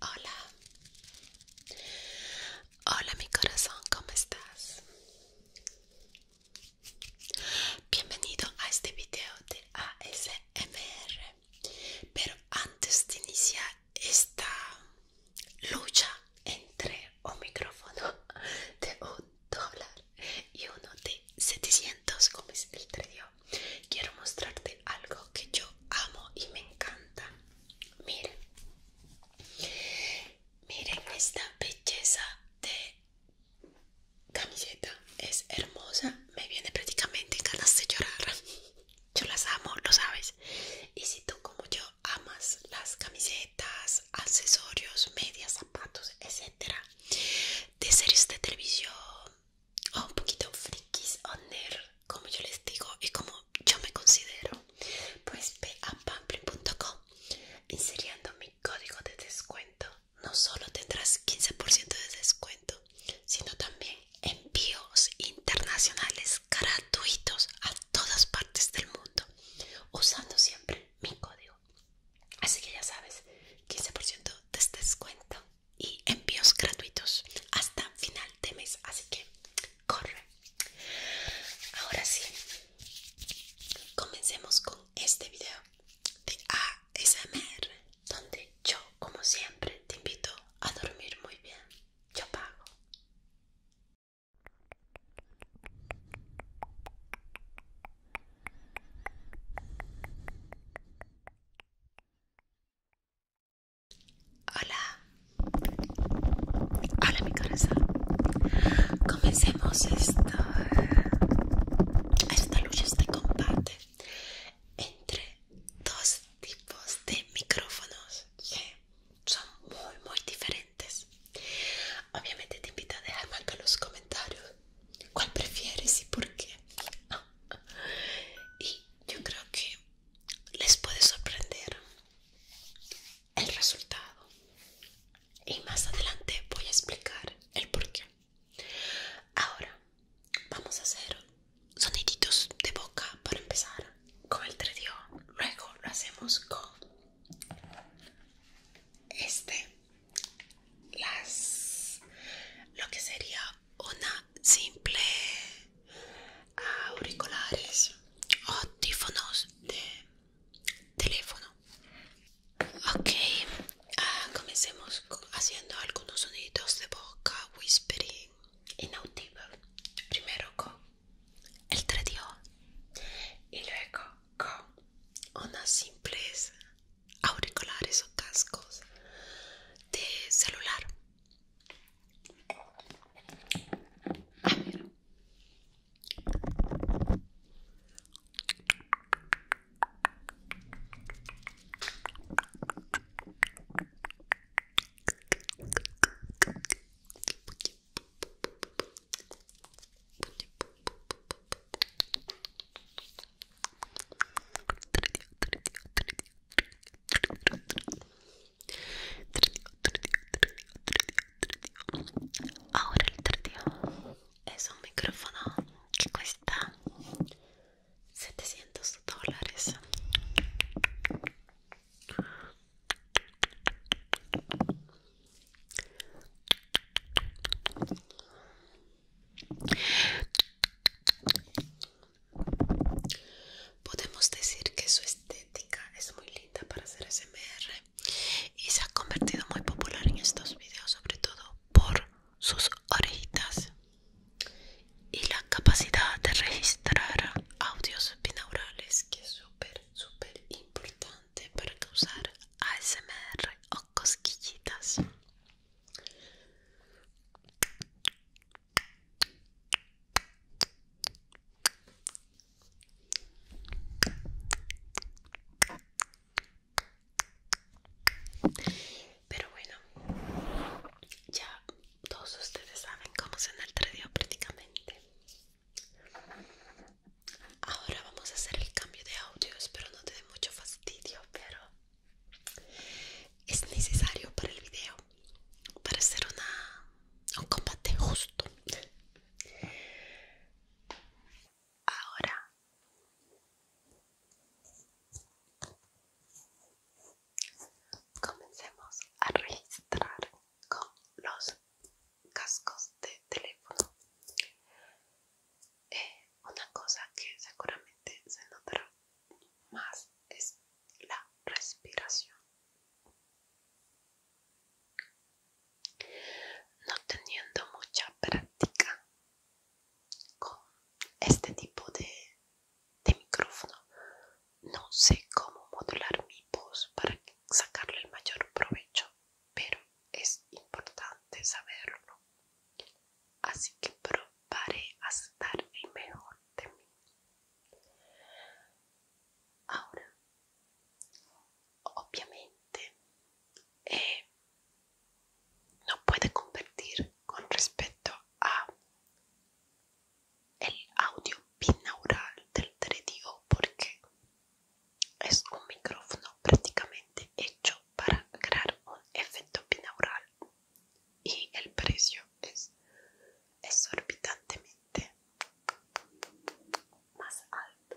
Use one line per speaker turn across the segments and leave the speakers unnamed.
Hola, hola mi corazón, ¿cómo estás? Bienvenido a este video de ASMR. Pero antes de iniciar esta lucha entre un micrófono de un dólar y uno de 700, como es el trío, quiero mostrarte algo que yo amo y me encanta. Miren, miren esta belleza de camiseta. Es hermosa, me viene prácticamente ganas de llorar. Yo las amo, lo sabes. Y si tú como yo amas las camisetas, accesorios, medias, zapatos, etcétera, de series de televisión, o oh, un poquito frikis o como yo les digo y como yo me considero, pues ve a pamplin.com inseriendo mi código de descuento. No solo tendrás 15% de descuento, sino también envíos internacionales gratuitos a todas partes del mundo, usando siempre mi código. Así que ya sabes, 15% de este descuento y envíos gratuitos hasta final de mes. Así que corre. Ahora sí, comencemos con este video de ASMR, donde yo, como siempre, te invito a dormir muy bien. Yo pago. Hola, hola mi corazón. Comencemos esta, esta lucha, este combate entre dos tipos de micrófonos que son muy, muy diferentes. Obviamente te invito a dejarme en los comentarios cuál prefieres y por qué. Ah, y yo creo que les puede sorprender el resultado y más adelante voy a explicar el por qué ahora vamos a hacer soniditos de boca para empezar con el tredio luego lo hacemos con este las lo que sería una simple ah, auriculares o tífonos de teléfono ok ah, comencemos haciendo algunos sonidos de boca whispering inaudible primero con el radio y luego con una simple auriculares o cascos de celular. Ahora el tardío Es un micrófono Que cuesta 700 dólares. Podemos decir que su estética es muy linda para hacer SMR y se ha convertido muy popular en estos videos, sobre todo por sus orejitas y la capacidad de registrar audios binaurales, que es súper, súper importante para causar ASMR o cosquillitas. Pero bueno, ya todos ustedes saben cómo se dio prácticamente. Ahora vamos a hacer el cambio de audio, espero no te dé mucho fastidio, pero es necesario para el video para hacer un combate justo ahora comencemos a registrar con los cascos de teléfono eh, una cosa que seguramente se notará más es la respiración. No teniendo mucha práctica con este tipo de, micrófono, no sé cómo modular mi voz para sacarle el mayor provecho, pero es importante saberlo así que probaré a estar el mejor de mí. Ahora, obviamente, eh, no puede convertir con respecto a el audio binaural del Tredio porque es un micrófono prácticamente hecho para crear un efecto binaural y el precio es exorbitantemente más alto.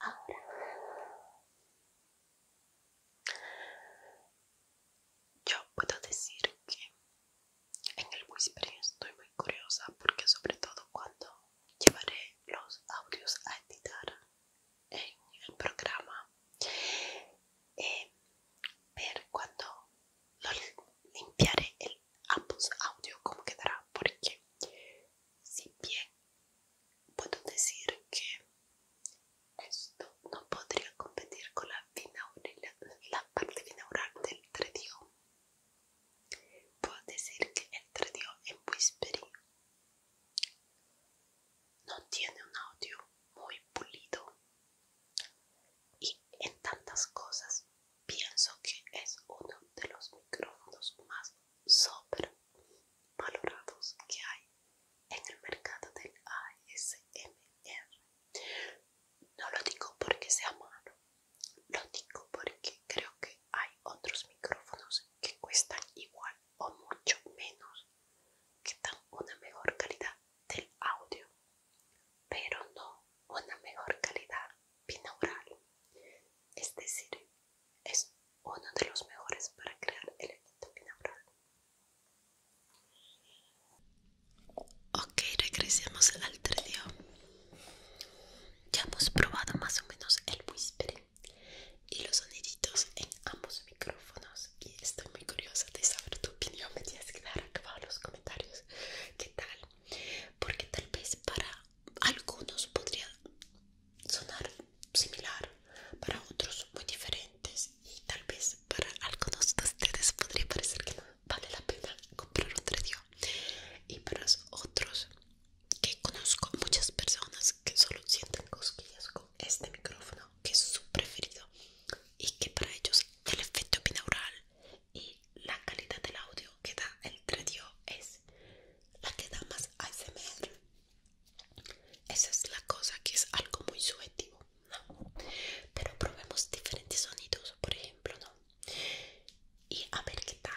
Ahora yo puedo decir que en el whispering estoy muy curiosa porque sobre todo cuando llevaré los audios a editar en el programa eh, ver cuando limpiaré el ambos audio como quedará porque si bien puedo decir que esto no podría competir con la, parte binaural del tredio. Puedo decir que el tredio en Whispering no tiene un audio muy pulido y en tantas cosas pienso que es uno de los micrófonos más súper valorados que hay en el mercado del ASMR. No lo digo porque sea malo, lo digo porque creo que hay otros micrófonos que cuestan igual o mucho menos, que dan una mejor calidad del audio, pero no una mejor calidad binaural. Es decir, es uno de los mejores para crear el elemento binaural. Ok, regresemos al día Ya hemos probado más o menos el whispering y los soniditos en ambos micrófonos y estoy muy curiosa de saber tu opinión. Me tienes que dar acá los comentarios qué tal, porque tal vez para algunos podría sonar similar, para otros muy diferentes y tal vez para algunos de ustedes podría parecer que no vale la pena comprar un radio y para otros que conozco muchas personas que solo sienten cosquillas con este micrófono que es su preferido y que para ellos el efecto binaural y la calidad del audio que da el radio es la que da más ASMR. Esa es la cosa que es algo muy subjetivo, Pero probemos diferentes sonidos, por ejemplo, ¿no? Y a ver qué tal.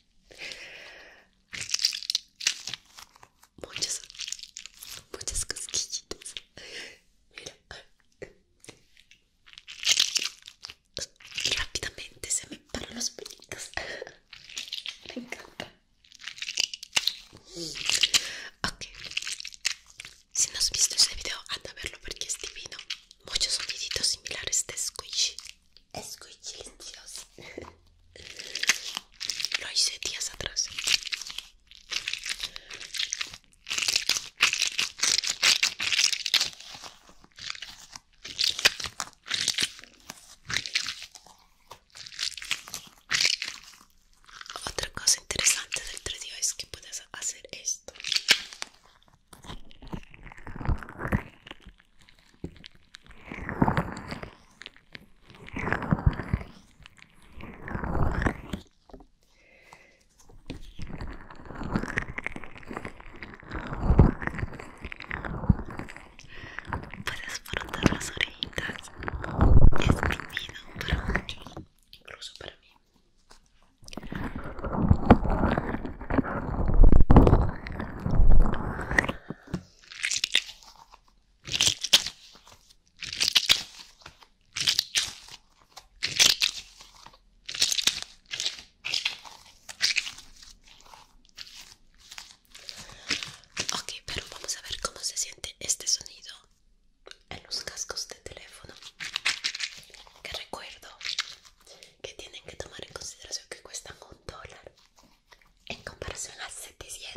Muchas, muchas cosquillitas. Mira. Rápidamente se me paran los pelitos. Me encanta. Ok. Si no has visto este video, anda a verlo porque es divino. Muchos sonidos similares de squishy. Escuchillos. Lo hice días atrás. Otra cosa interesante del 3 es que puedes hacer esto Puedes frotar las orejitas, es prohibido para muchos, incluso para mí. Ok, pero vamos a ver cómo se siente este sonido en los cascos de teléfono. Que recuerdo que tienen que tomar en consideración que cuestan un dólar en comparación a 700.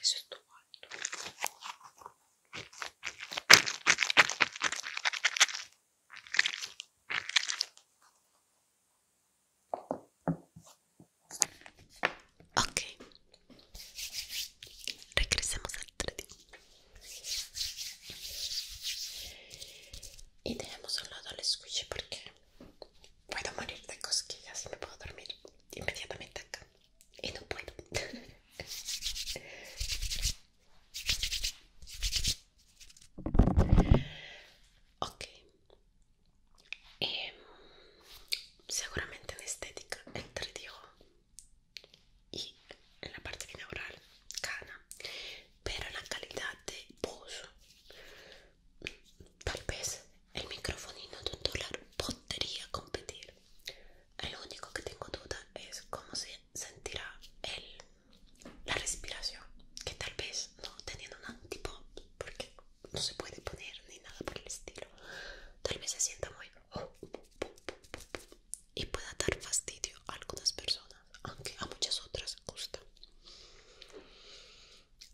Eso Ok, regresemos al d y tenemos un lado el squishy porque voy a morir de cosquillas y me puedo dormir inmediatamente acá y no puedo. ok. Em, seguramente en estética, entre digo y en la parte binaural, gana Pero en la calidad de voz, tal vez el microfonino de un dólar podría competir el único que tengo duda es cómo se sentirá la respiración, que tal vez no teniendo un tipo porque no se puede poner ni nada por el estilo, tal vez se sienta muy y pueda dar fastidio a algunas personas, aunque a muchas otras gusta.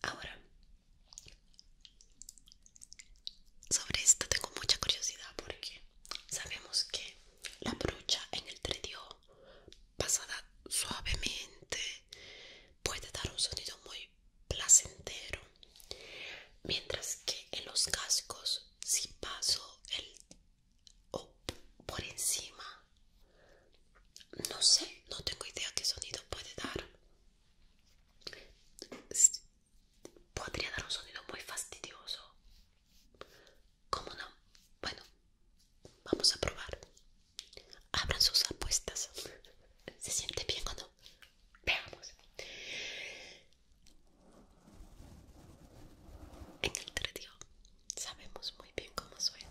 Ahora, sobre esto tengo mucha curiosidad porque sabemos que la brocha en el tredio pasada suavemente puede dar un sonido muy placentero, mientras que en los cascos si paso el o por encima no sé, no tengo idea qué sonido puede dar podría dar un sonido muy fastidioso. ¿Cómo no? Bueno, vamos a probar. Abran sus apuestas. ¿Se siente bien o no? Veamos. En el tredio sabemos muy bien cómo suena.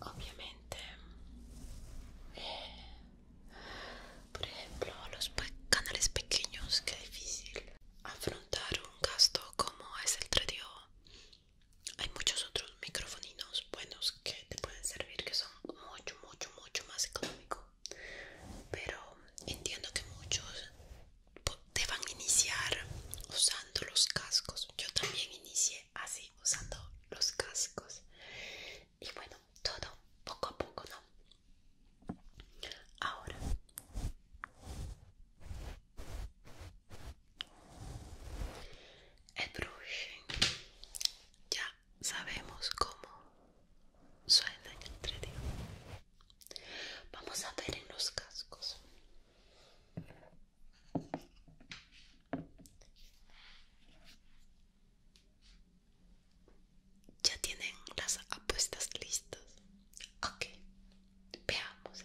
Obviamente, por ejemplo, los canales pequeños, que es difícil afrontar un gasto como es el tradi hay muchos otros microfoninos buenos que te pueden servir que son mucho mucho mucho más económico pero entiendo que muchos deban iniciar usando los cascos yo también inicié así usando los cascos y bueno todo poco a poco no ahora el brushing. Ya sabemos cómo suena en el Vamos a ver en los cascos. Ya tienen las apuestas listas. Ok, veamos.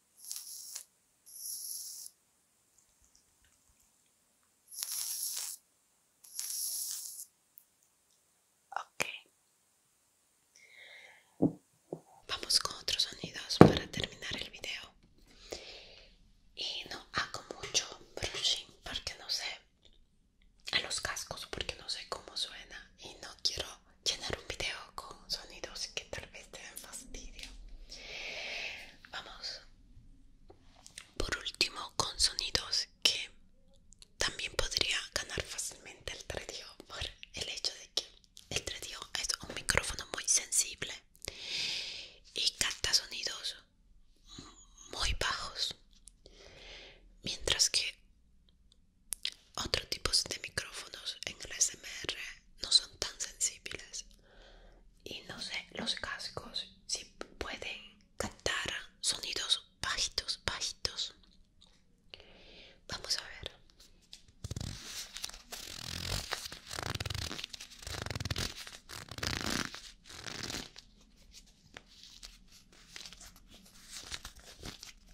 Ok. Vamos con otros sonidos para terminar el video. Y no hago mucho brushing porque no sé a los cascos porque no sé cómo suena y no quiero llenar un video con sonidos que tal vez te den fastidio. Vamos por último con sonidos que también podría ganar fácilmente el 3 por el hecho de que el 3 es un micrófono muy sensible y capta sonidos muy bajos mientras que otros tipos de micrófonos en el SMR no son tan sensibles. Y no sé, los cascos si sí pueden cantar sonidos bajitos, bajitos. Vamos a ver.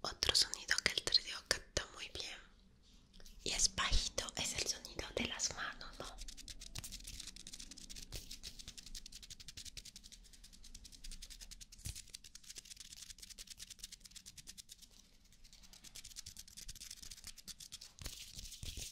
Otro sonido que el trío canta muy bien y es bajito, es el sonido de las manos,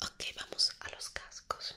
Ok, vamos a los cascos.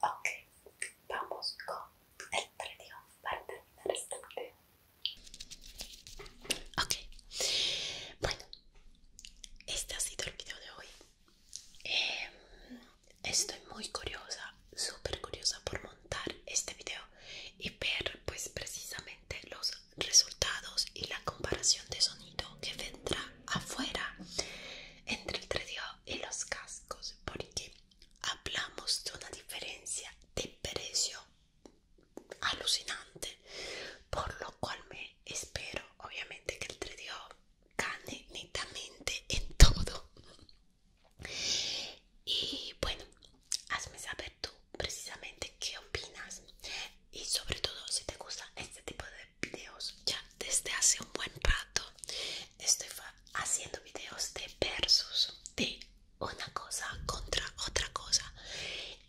Ok, vamos con el trío para terminar este bueno, este ha sido el video de hoy. Em, estoy muy curiosa, súper curiosa por montar este video y ver pues precisamente los resultados y la comparación de sonido que vendrá afuera entre el 3DO y los cascos porque hablamos de una diferencia de precio alucinante por lo cual me espero obviamente que el 3DO gane netamente en todo y bueno hazme saber tú precisamente qué opinas y sobre todo si te gusta este tipo de videos ya desde hace un buen rato estoy haciendo videos de versus de una cosa contra otra cosa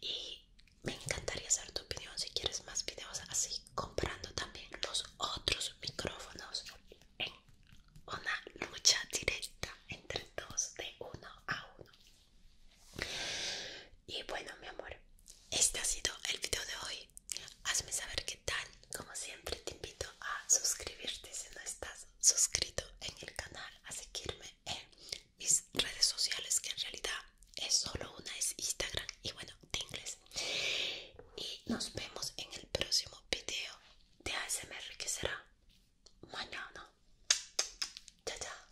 y me encantaría saber tu opinión si quieres más videos así comparando también los otros micrófonos en una lucha directa entre dos de uno a uno y bueno, mi amor, este ha sido el video de hoy. Hazme saber qué tal. Como siempre, te invito a suscribirte si no estás suscrito en el canal, a seguirme en mis redes sociales, que en realidad es solo una, es Instagram y bueno, de inglés Y nos vemos en el próximo video de ASMR que será mañana. Chao, chao.